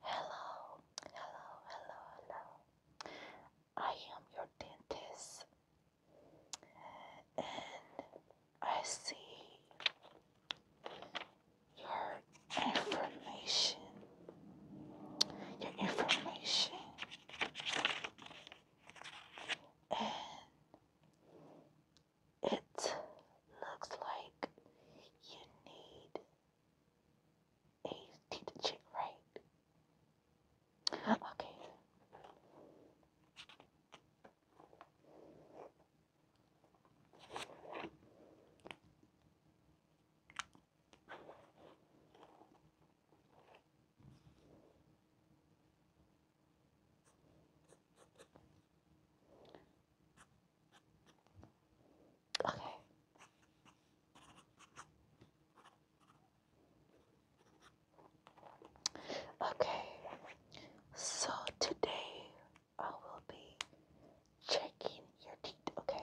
Hello, hello, hello, hello. I am your dentist, and I see your information. Your information, and it looks like you need He's need the chick right. Okay. Okay. Okay. So today I will be checking your teeth, okay?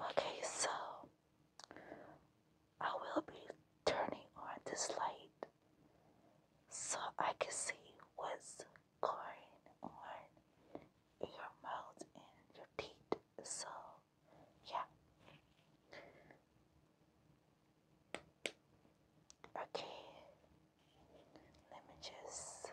Okay, so I will be turning on this light so I can see what's going on in your mouth and your teeth. So, yeah. Okay, let me just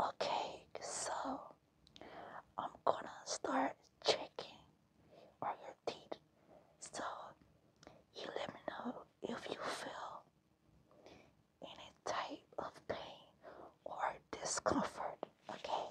Okay, so I'm gonna start checking on your teeth. So you let me know if you feel any type of pain or discomfort. okay.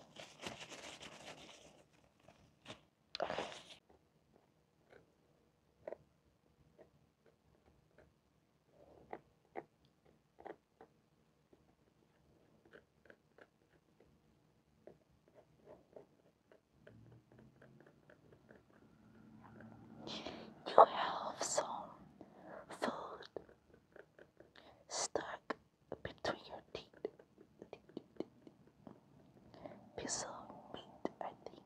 You have some food stuck between your teeth. Piece of meat, I think.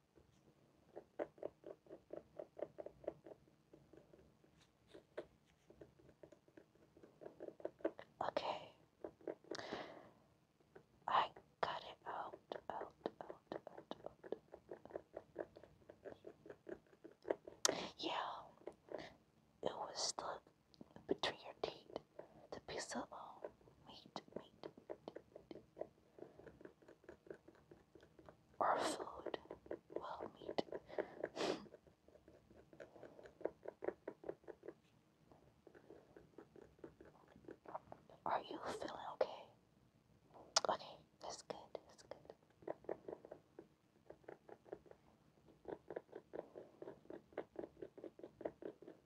Okay. I got it out, out, out, out, out. Yeah, it was stuck between your teeth. The piece of um, meat, meat, meat or food. Well, meat. Are you feeling okay? Okay, that's good, that's good.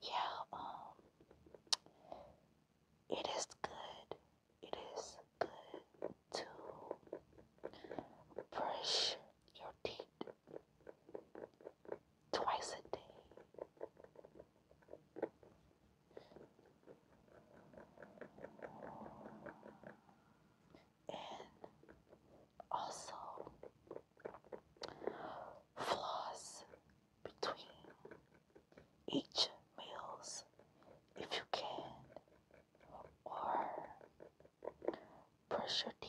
Yeah, um, it is good. It is good to brush your teeth twice a day. And also floss between each meals if you can, or brush your teeth.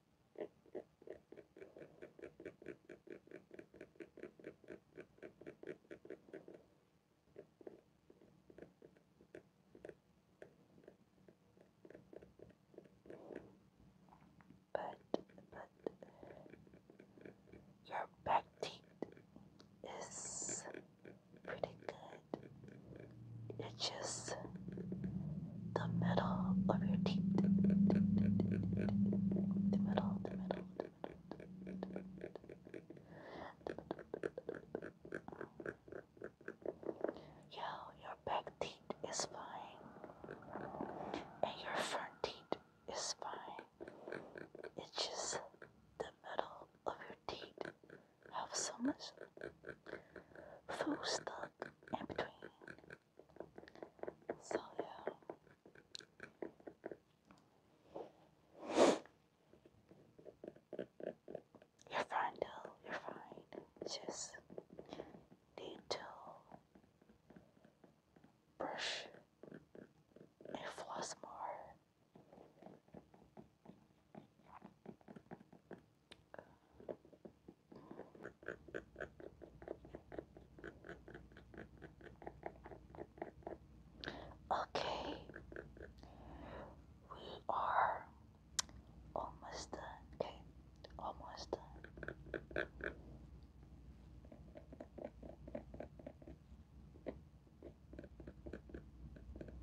But, but your back teeth is pretty good. It's just the middle of your teeth. The middle, the middle, Yo, your back teeth is fine. And your front teeth is fine. It's the middle of your teeth have so much food stuck in between. So yeah. You're fine you're fine. Just need to brush and floss more. Okay, we are almost done. Okay, almost done.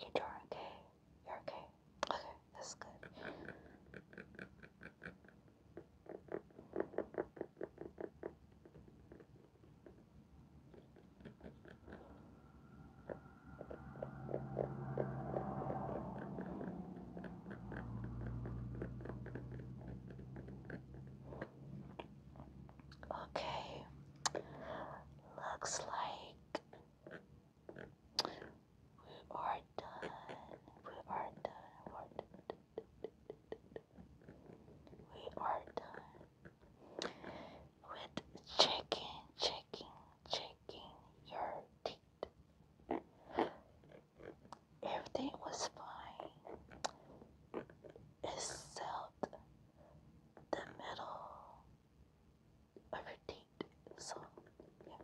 You are okay. You're okay. Okay, that's good. Okay, looks like we are done. We are done. We are done. with checking, checking, checking your teeth. Everything was fine except the middle I redeemed in the song. Yeah.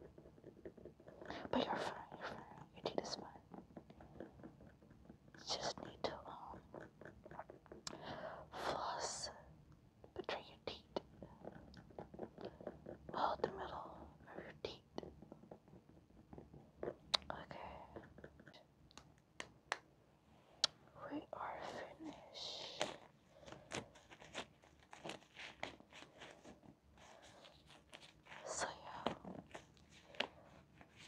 But you're fine, you're fine. Your date is fine. Just need to um floss between your teeth. Well the middle of your teeth. Okay we are finished. So yeah,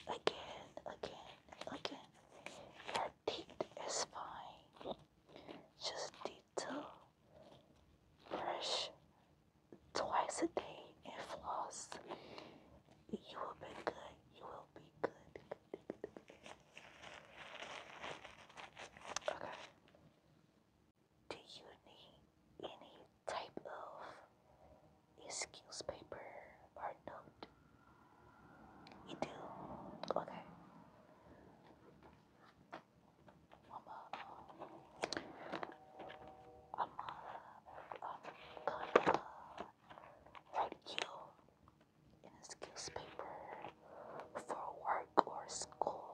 again, again, again, your teeth is fine. Just need brush twice a day and floss. You will be good. You will be good. Okay. Do you need any type of excuse paper or note? You do? Okay. I'm, uh, I'm gonna write you a excuse paper for work or school.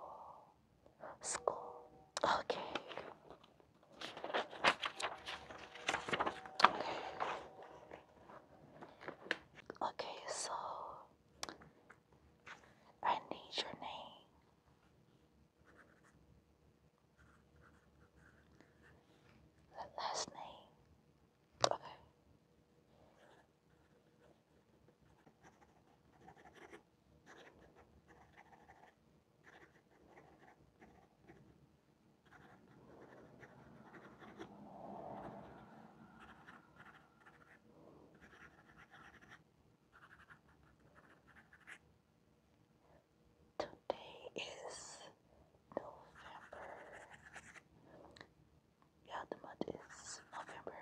School. Okay. Okay. Okay, so I need your name. The last name. Okay. Today is November yeah, the month is November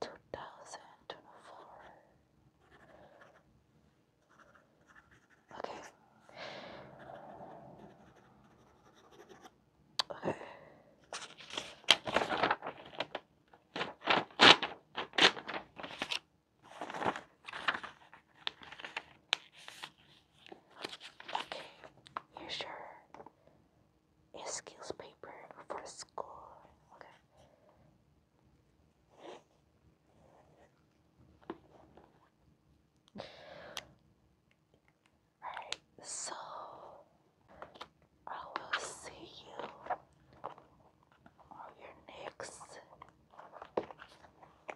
2024. Okay. Okay. Okay, here's your skills paper for school. Okay. Alright, so I will see you on your next